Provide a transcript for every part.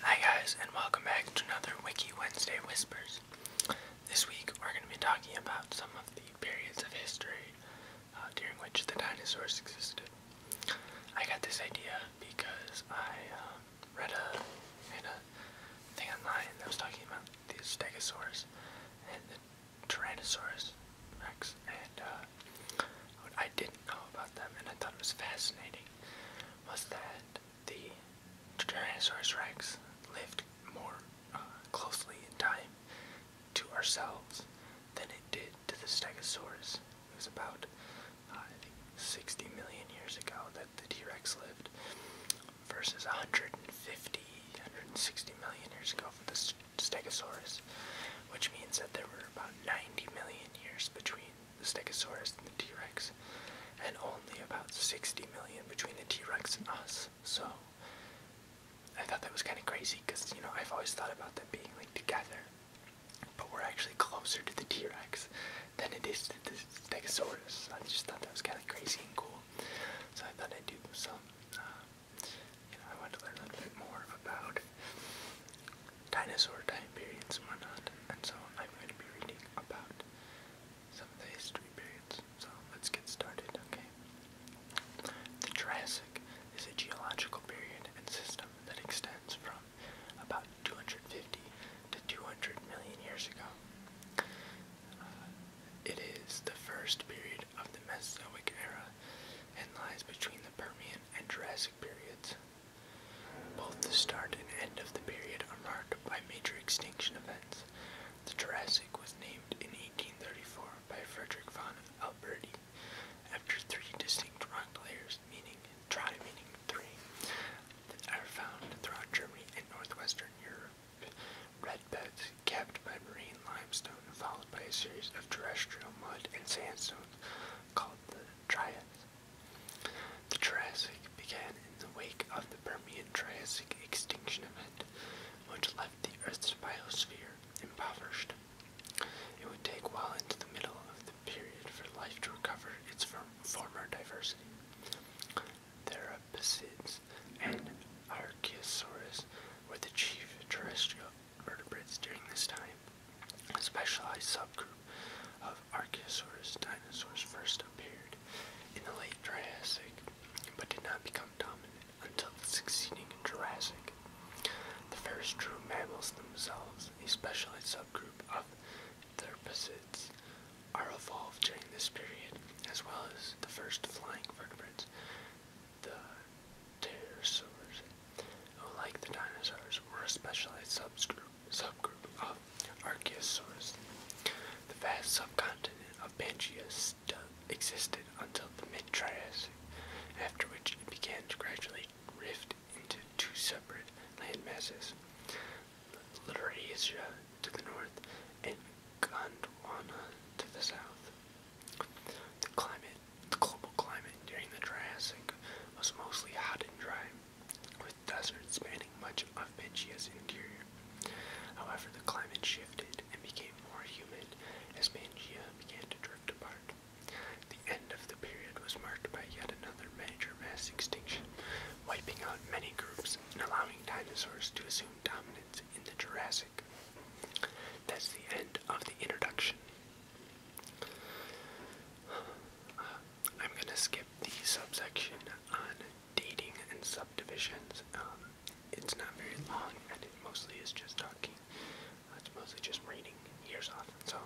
Hi guys and welcome back to another Wiki Wednesday Whispers. This week we're going to be talking about some of the periods of history uh, during which the dinosaurs existed. I got this idea because I um, read a, read a thing online that was talking about the stegosaurs and the tyrannosaurus rex and uh, I didn't know about them and I thought it was fascinating was that the Tyrannosaurus rex lived more uh, closely in time to ourselves than it did to the Stegosaurus. It was about uh, I think 60 million years ago that the T-Rex lived versus 150, 160 million years ago for the Stegosaurus, which means that there were about 90 million years between the Stegosaurus and the T Rex, and only about 60 million between the T Rex and us. So I thought that was kind of crazy because, you know, I've always thought about them being like together, but we're actually closer to the T Rex than it is to the Stegosaurus. I just thought that was kind of crazy and cool. So I thought I'd do some, uh, you know, I wanted a little bit more about dinosaur time periods and whatnot, and so I'm going to be reading about some of the history periods. So let's get started, okay? The Jurassic is a geological period and system that extends from about 250 to 200 million years ago. Uh, it is the first period of the Mesozoic era and lies between the Permian and Jurassic periods. Both the start and end of the period are marked by major extinction events. The Jurassic was named in 1834 by Frederick von Alberti after three distinct rock layers, meaning tri meaning three, that are found throughout Germany and northwestern Europe. Red beds capped by marine limestone, followed by a series of terrestrial mud and sandstones called the triads. The Triassic began in the wake of the Permian Triassic extinction event, which left the Earth's biosphere impoverished. It would take well into the middle of the period for life to recover its former diversity. Therapsids and Archaeosaurus were the chief terrestrial vertebrates during this time. A specialized subgroup of of dinosaurs first appeared in the late Triassic, but did not become dominant until the succeeding Jurassic. The first true mammals themselves, a specialized subgroup of therpsids, are evolved during this period, as well as the first flying vertebrates, the pterosaurs like the dinosaurs, were a specialized subgroup, subgroup of Archaeosaurs. The vast subcontinent of Pangaea still existed until the mid-Triassic, after which it began to gradually rift into two separate land masses, Laurasia to the north and Gondwana to the south. The climate, the global climate during the Triassic was mostly hot and dry, with desert spanning much of Pangaea's interior. However, the climate shifted and became more humid as Pangaea began to drift apart. The end of the period was marked by yet another major mass extinction, wiping out many groups and allowing dinosaurs to assume dominance in the Jurassic. That's the end of the introduction. I'm gonna skip the subsection on dating and subdivisions. Um, it's not very long, and it mostly is just talking. Uh, it's mostly just reading years off. So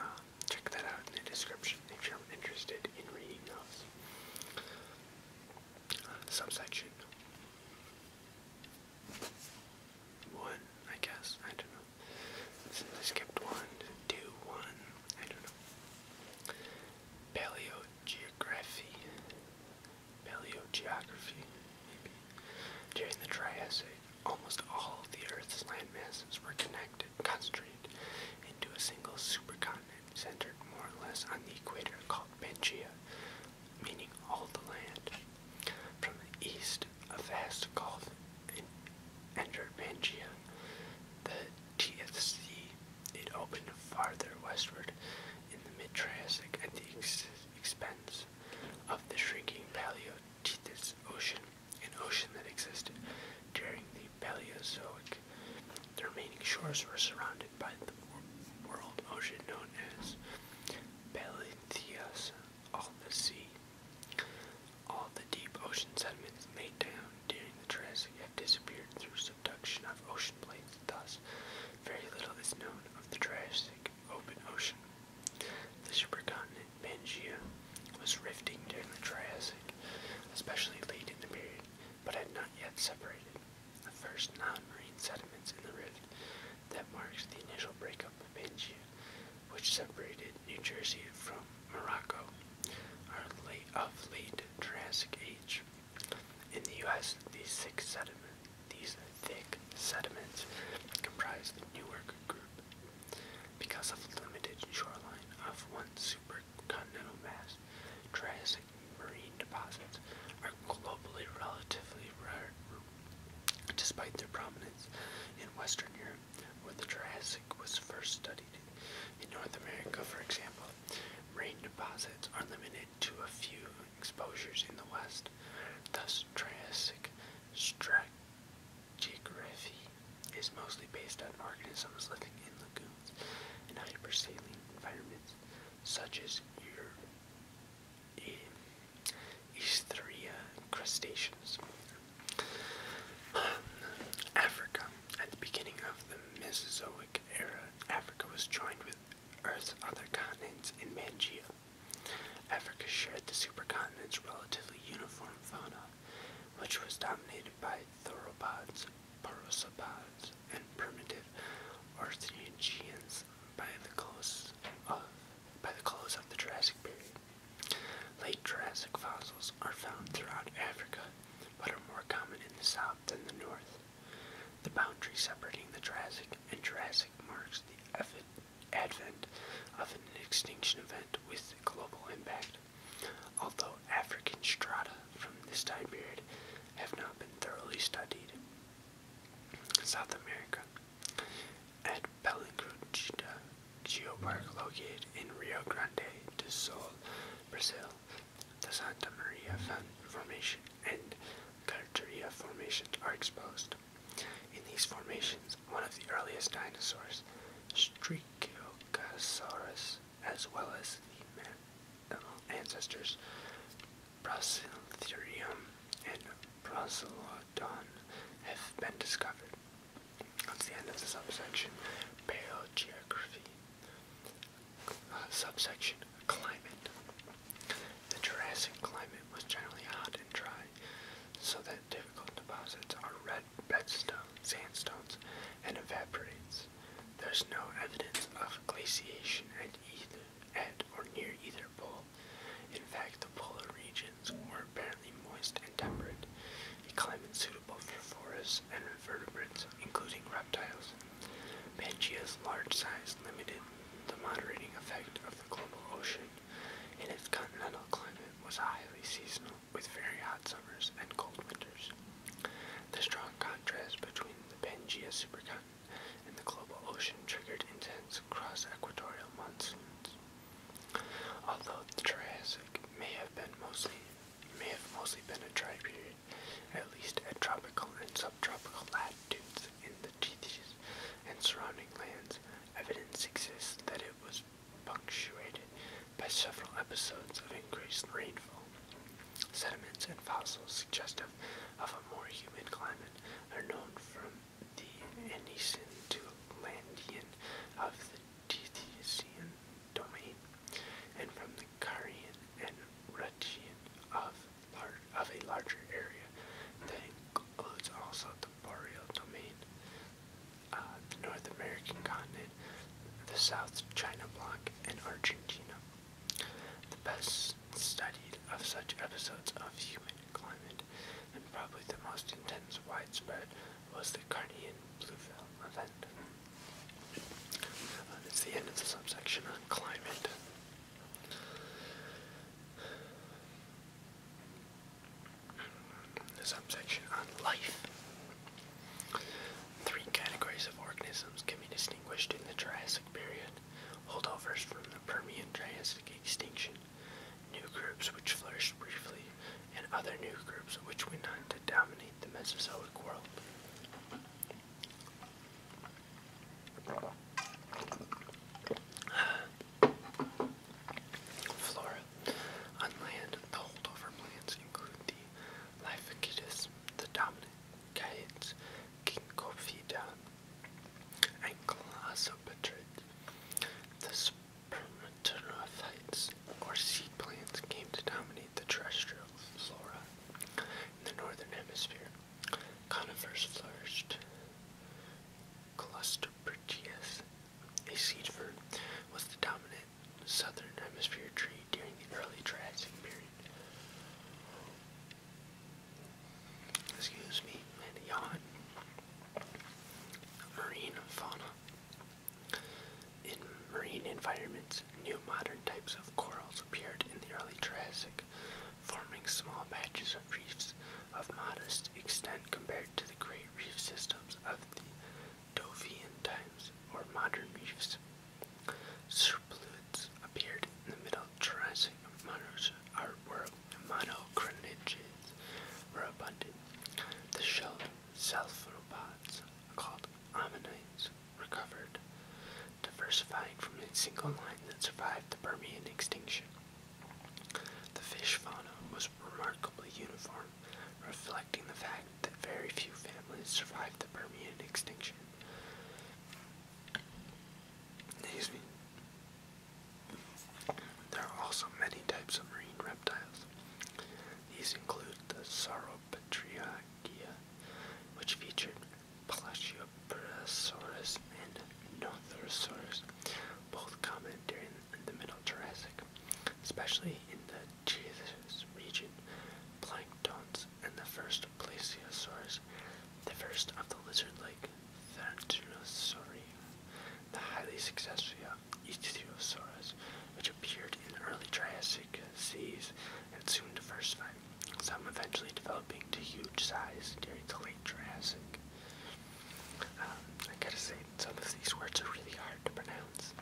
uh, check that out in the description if you're interested in reading those. Uh, subsection. One I guess. I don't know. I skipped one, two, one. I don't know. Paleo geography. maybe. During the Triassic, almost all of the Earth's land masses were connected, concentrated into a single supercontinent centered more or less on the equator called Pangaea, meaning all the land. From the east a vast Gulf in Enderpangia, the TFC. It opened farther westward in the mid-Triassic at the expense of the shrinking Paleotitus Ocean, an ocean that existed during the Paleozoic. The remaining shores were surrounded by the world ocean known as Paletheus, all the sea. All the deep ocean sediments made down during the Triassic have disappeared through subduction of ocean plates, thus, very little is known of the Triassic open ocean. The supercontinent Pangaea was rifting during the Triassic, especially late in the period, but had not yet separated. The first non-marine sediments in the rift that marks the initial breakup of Pangaea, which separated New Jersey from Morocco are late of late Jurassic age. In the US, these thick sediments, these thick sediments comprise the Newark group. Because of limited shoreline of one supercontinental mass, Triassic marine deposits are globally relatively rare despite their prominence in Western Europe where the Triassic was first studied. In North America, for example, rain deposits are limited to a few exposures in the west. Thus, Triassic stratigraphy is mostly based on organisms living in lagoons and hypersaline environments, such as these three crustaceans. Africa. At the beginning of the Mesozoic era, Africa was joined with Earth's other continents in Pangea. Africa shared the supercontinent's relatively uniform fauna, which was dominated by theropods, porosopods, and primitive Ornithischians by the close of by the close of the Jurassic period. Late Jurassic fossils are found throughout Africa, but are more common in the south than the north. The boundary separating the Jurassic and Jurassic marks the advent of an extinction event with global impact, although African strata from this time period have not been thoroughly studied. South America. At Belinguchita Geopark, located in Rio Grande do Sul, Brazil, the Santa Maria Formation and Carteria Formation are exposed. In these formations, one of the earliest dinosaurs, Striciocasaurus, as well as the mammal ancestors, Brachytherium and Procelodon have been discovered. That's the end of the subsection. Paleogeography. Uh, subsection climate. The Jurassic climate was generally hot and dry, so that difficult deposits are red bedstone, sandstones, and evaporates. There's no evidence of glaciation at either at or near either pole. In fact, the polar regions were apparently moist and temperate, a climate suitable for forests and invertebrates, including reptiles. Pangaea's large size limited the moderating effect of the global ocean, and its continental climate was highly seasonal, with very hot summers and cold winters. The strong contrast between the Pangea supercontinent and the global ocean triggered intense cross-equatorial monsoons. Although the Triassic may have been mostly may have mostly been a dry period, at least at tropical and subtropical latitudes in the Tethys and surrounding lands, evidence exists that it was punctuated by several episodes of increased rainfall. Sediments and fossils suggestive of a more humid climate are known from the Anician to Landian of the Dethesian domain, and from the Karian and Ruchian of, a larger area that includes also the Boreal domain, uh, the North American continent, the South China block, and Argentina. The best studied of such episodes of human climate and probably the most intense widespread was the Carnean blue film event. Uh, it's the end of the subsection on climate. The subsection on life. Three categories of organisms can be distinguished in the Triassic period holdovers from the Permian Triassic extinction new groups which flourished briefly, and other new groups which went on to dominate the Mesozoic world. Flora. On land, the holdover plants include the Lyphacetus, the dominant Cates, Kinkophyta, and Colossopetrid. The Permethrophytes, or seed plants, came to dominate the terrestrial flora in the northern hemisphere. Conifers flourished. Clusterpretias, a seed fern, was the dominant southern hemisphere tree during the early Triassic period. Excuse me, and yawn. Marine fauna. In marine environments, new modern types of corals appeared in the early Triassic, forming small patches of reefs of modest extent compared to the great reef systems of the Dovian times or modern reefs. Serplulids appeared in the Middle Triassic. Monos are, were monocrinids were abundant. The shelled cephalopods, called ammonites, recovered, diversifying from a single line that survived the Permian extinction. The fish fauna was remarkably uniform, reflecting the fact that very few families survived the Permian extinction. Excuse me. There are also many types of marine reptiles. These include the Sauropatriagia, which featured Plagiopterosaurus and Nothosaurus, both common during the Middle Jurassic, especially in the Jethus region. Planktons and the first Plesiosaurus, the first of the lizard-like Thanatosauria, the highly successful Ichthyosaurus, which appeared in early Triassic seas and soon diversified, some eventually developing to huge size during the late Triassic. Um, I gotta say, some of these words are really hard to pronounce.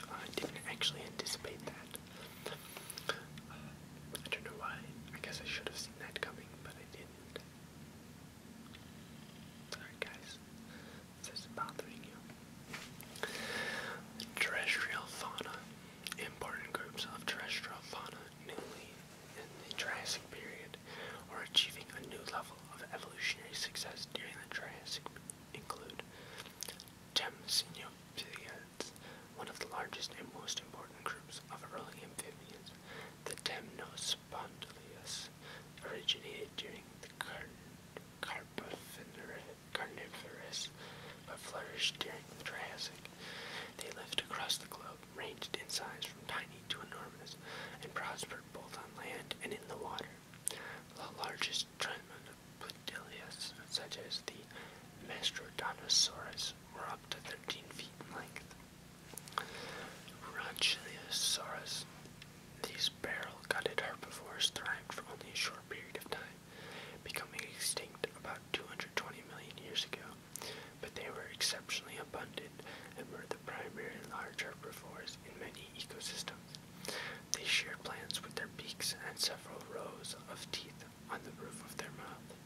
Uh, I didn't actually anticipate that. Uh, I don't know why. I guess I should have seen that coming, but I didn't. Sorry, guys. If this is bothering you. Terrestrial Important groups of terrestrial newly in the Triassic period are achieving a new level of evolutionary success during the Triassic include Temnopithecines, one of the largest and most important groups of early amphibians. The Temnos spondylitis originated during the Car Carnivorous, but flourished during the Triassic. They lived across the globe, ranged in size from tiny to enormous, and prospered both on land and in the water. The largest Trimonopodilias, such as the Mastrodontosaurus, were up to 13 feet in length. Ranchiliosaurus. These barrel-gutted herbivores thrived for only a short period of time, becoming extinct about 220 million years ago, but they were exceptionally abundant and were the primary large herbivores in many ecosystems. They sheared plants with their beaks and several rows of teeth on the roof of their mouth.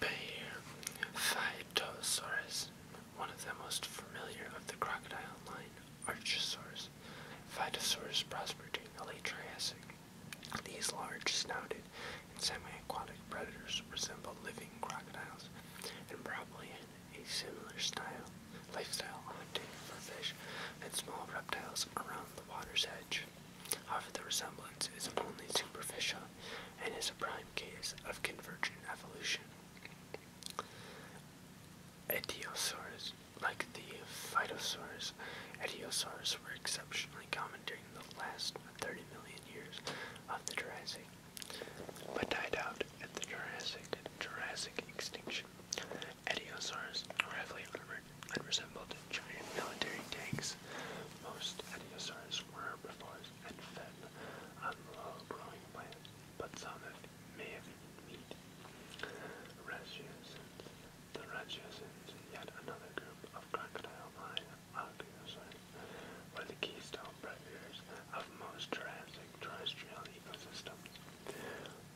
Phytosaurus, one of the most familiar of the crocodile line archosaurs. Phytosaurus prospered during the late Triassic. These large snouted and semi-aquatic predators resemble living crocodiles and probably had a similar style, lifestyle hunting for fish and small reptiles around the water's edge. However, the resemblance is only superficial and is a prime case of convergent evolution. Etiosaurs, like the phytosaurs, etiosaurs were exceptionally common during the last 30 million years of the Jurassic, but died out at the Jurassic Jurassic extinction. Etiosaurs were heavily armored and resembled giant military tanks. Most etiosaurs numerous herbivores and fed uh, on low-growing plants, but some may have eaten meat. Ratiocins. The Ratiocins, yet another group of crocodile-like archaeosaurs, were the keystone predators of most Jurassic terrestrial ecosystems.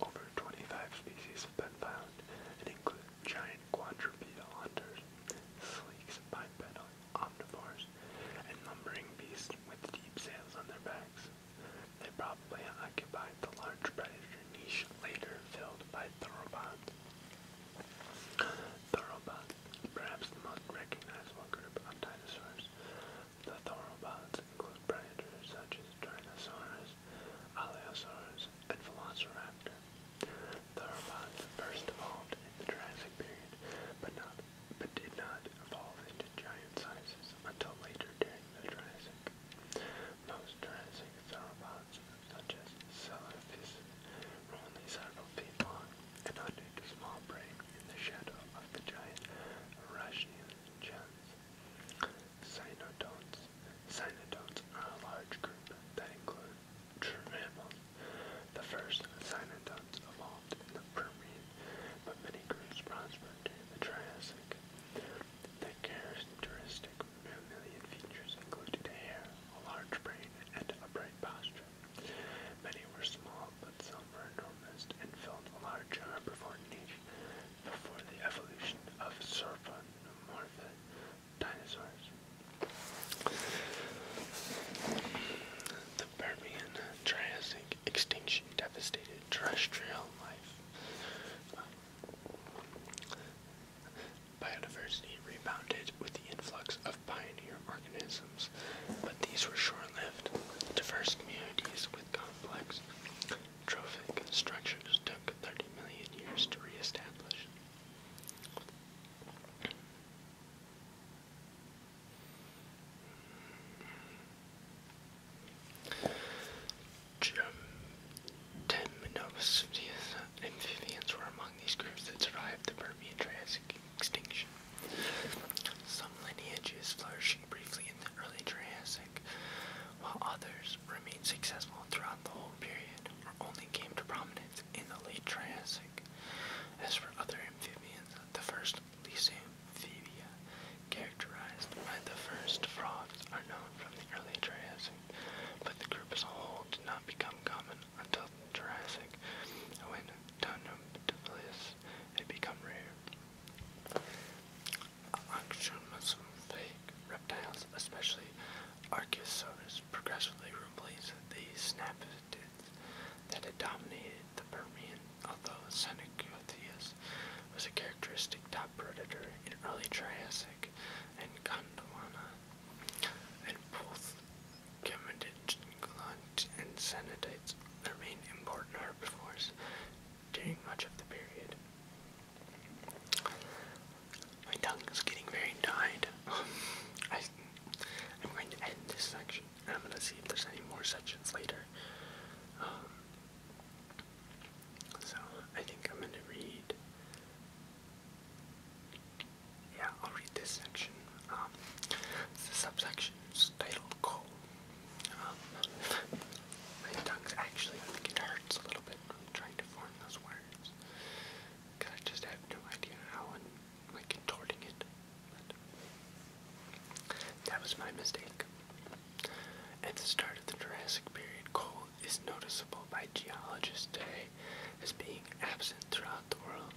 Over 25 species have been found and include giant quadrupedal hunters, sleeks, bipedal omnivores, and lumbering beasts with deep sails on their backs. They probably occupied the large predator niche later filled by theropods. Theropods, perhaps the most recognizable group of dinosaurs. The theropods include predators such as Tyrannosaurus, Allosaurus, and Velociraptor. Theropods first evolved in the Jurassic period, but not but did not evolve into giant sizes until later during the Jurassic. Most Jurassic theropods, such as Celadus, were only several feet long and hunted small prey in the shadow of the giant Russian gens. Cynodonts. Cynodonts are a large group that include true mammals. The first cynodonts evolved in the Permian, but many groups prospered during the Triassic. The characteristic mammalian features included hair, a large brain, and upright posture. Many were small, but some were enormous and filled a large herbivore niche. Before the evolution of Sauropodomorpha, dinosaurs. The Permian Triassic extinction devastated terrestrial life. Biodiversity rebounded with the influx of pioneer organisms, but these were short-lived. Diverse communities with complex trophic structures took 30 million years to re-establish. Ten amphibians were among these groups that survived the Permian Triassic extinction. Some lineages flourishing briefly in the early Triassic, while others remained successful throughout the whole period only came to prominence in the late Triassic. As for other amphibians, the first Lysamphibia, characterized by the first frogs, are known from the early Triassic, but the group as a whole did not become common until Jurassic, when Tonoptilis had become rare. Auctionosaurus reptiles, especially Archosaurus, progressively replaced the Snaphids that had dominated the Permian, although Senecotheus was a characteristic top predator in early Triassic and Gondwana, both Camadidglunt and Cenotites remain important herbivores during much of the period. My tongue is getting very tired. I, am going to end this section, and I'm going to see if there's any more sections later. Um, so I think I'm going to read. Yeah, I'll read this section. Um, it's the subsection titled "Coal." Um, my tongue's actually, I hurts a little bit. trying to form those words. I just have no idea how like contorting it. that was my mistake. At the start of the Jurassic period, coal is noticeable by geologists today as being absent throughout the world.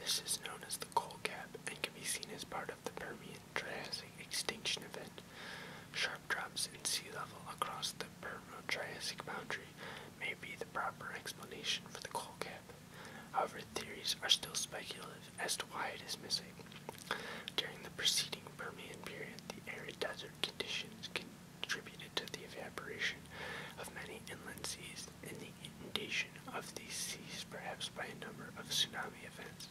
This is known as the coal gap and can be seen as part of the Permian Jurassic extinction event. Sharp drops in sea level across the permian Jurassic boundary may be the proper explanation for the coal cap. However, theories are still speculative as to why it is missing. During the preceding Permian period, the arid desert conditions contributed to the evaporation of many inland seas and the inundation of these seas, perhaps by a number of tsunami events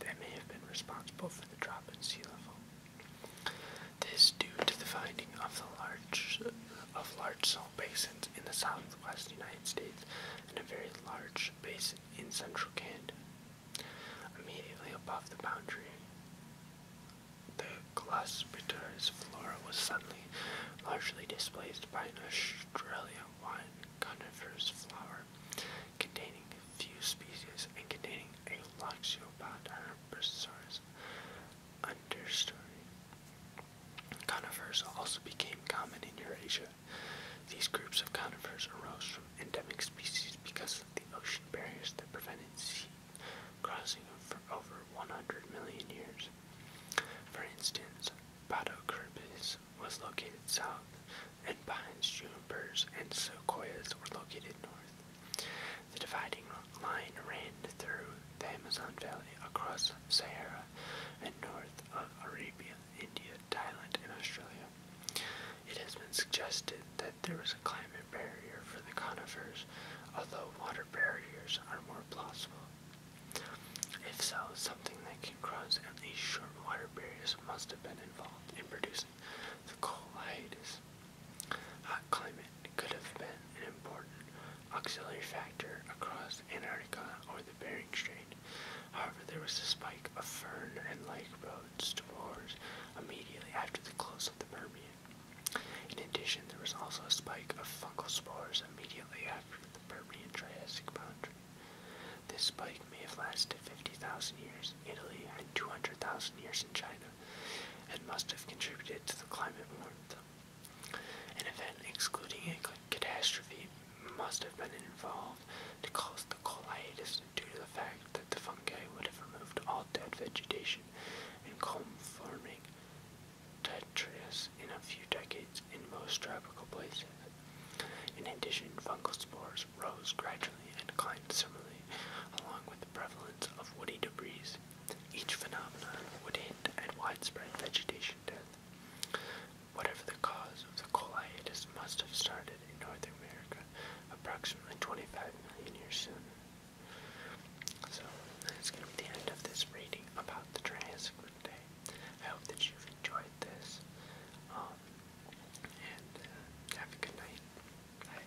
that may have been responsible for the drop in sea level. This due to the finding of large of large salt basins in the southwest United States and a very large basin in central Canada. Immediately above the boundary, the Gloucester's flora was suddenly largely displaced by an Australian coniferous flower containing few species and containing a Loxiopoda herbivorous understory. Conifers also became common in Eurasia. These groups of conifers arose from endemic species because of the ocean barriers that prevented sea crossing for over 100 million years. For instance, Patocarpus was located south, and pines, junipers, and sequoias were located north. The dividing line ran through the Amazon Valley, across Sahara, and north of Arabia, India, Thailand, and Australia. It has been suggested that there was a climate barrier for the conifers, although water barriers are more plausible. If so, something that can cross at least short water barriers must have been involved in producing the coal Hot climate could have been an important auxiliary factor across Antarctica or the Bering Strait. However, there was a spike of fern and lake roads immediately after the close of the Permian. In addition, there was also a spike of fungal spores immediately after the Permian Triassic boundary. This spike may have lasted 50,000 years in Italy and 200,000 years in China and must have contributed to the climate warmth. An event excluding a catastrophe must have been involved to cause the cold due to the fact that the fungi would have removed all dead vegetation and comb forming detritus in a few decades in most tropical places. In addition, fungal spores rose gradually and declined similarly along with the prevalence of woody debris each phenomenon would hint at widespread vegetation death. Whatever the cause of the coal must have started in North America approximately 25 million years sooner. So, that's going to be the end of this reading about the Triassic today. I hope that you've enjoyed this. Um, and uh, have a good night.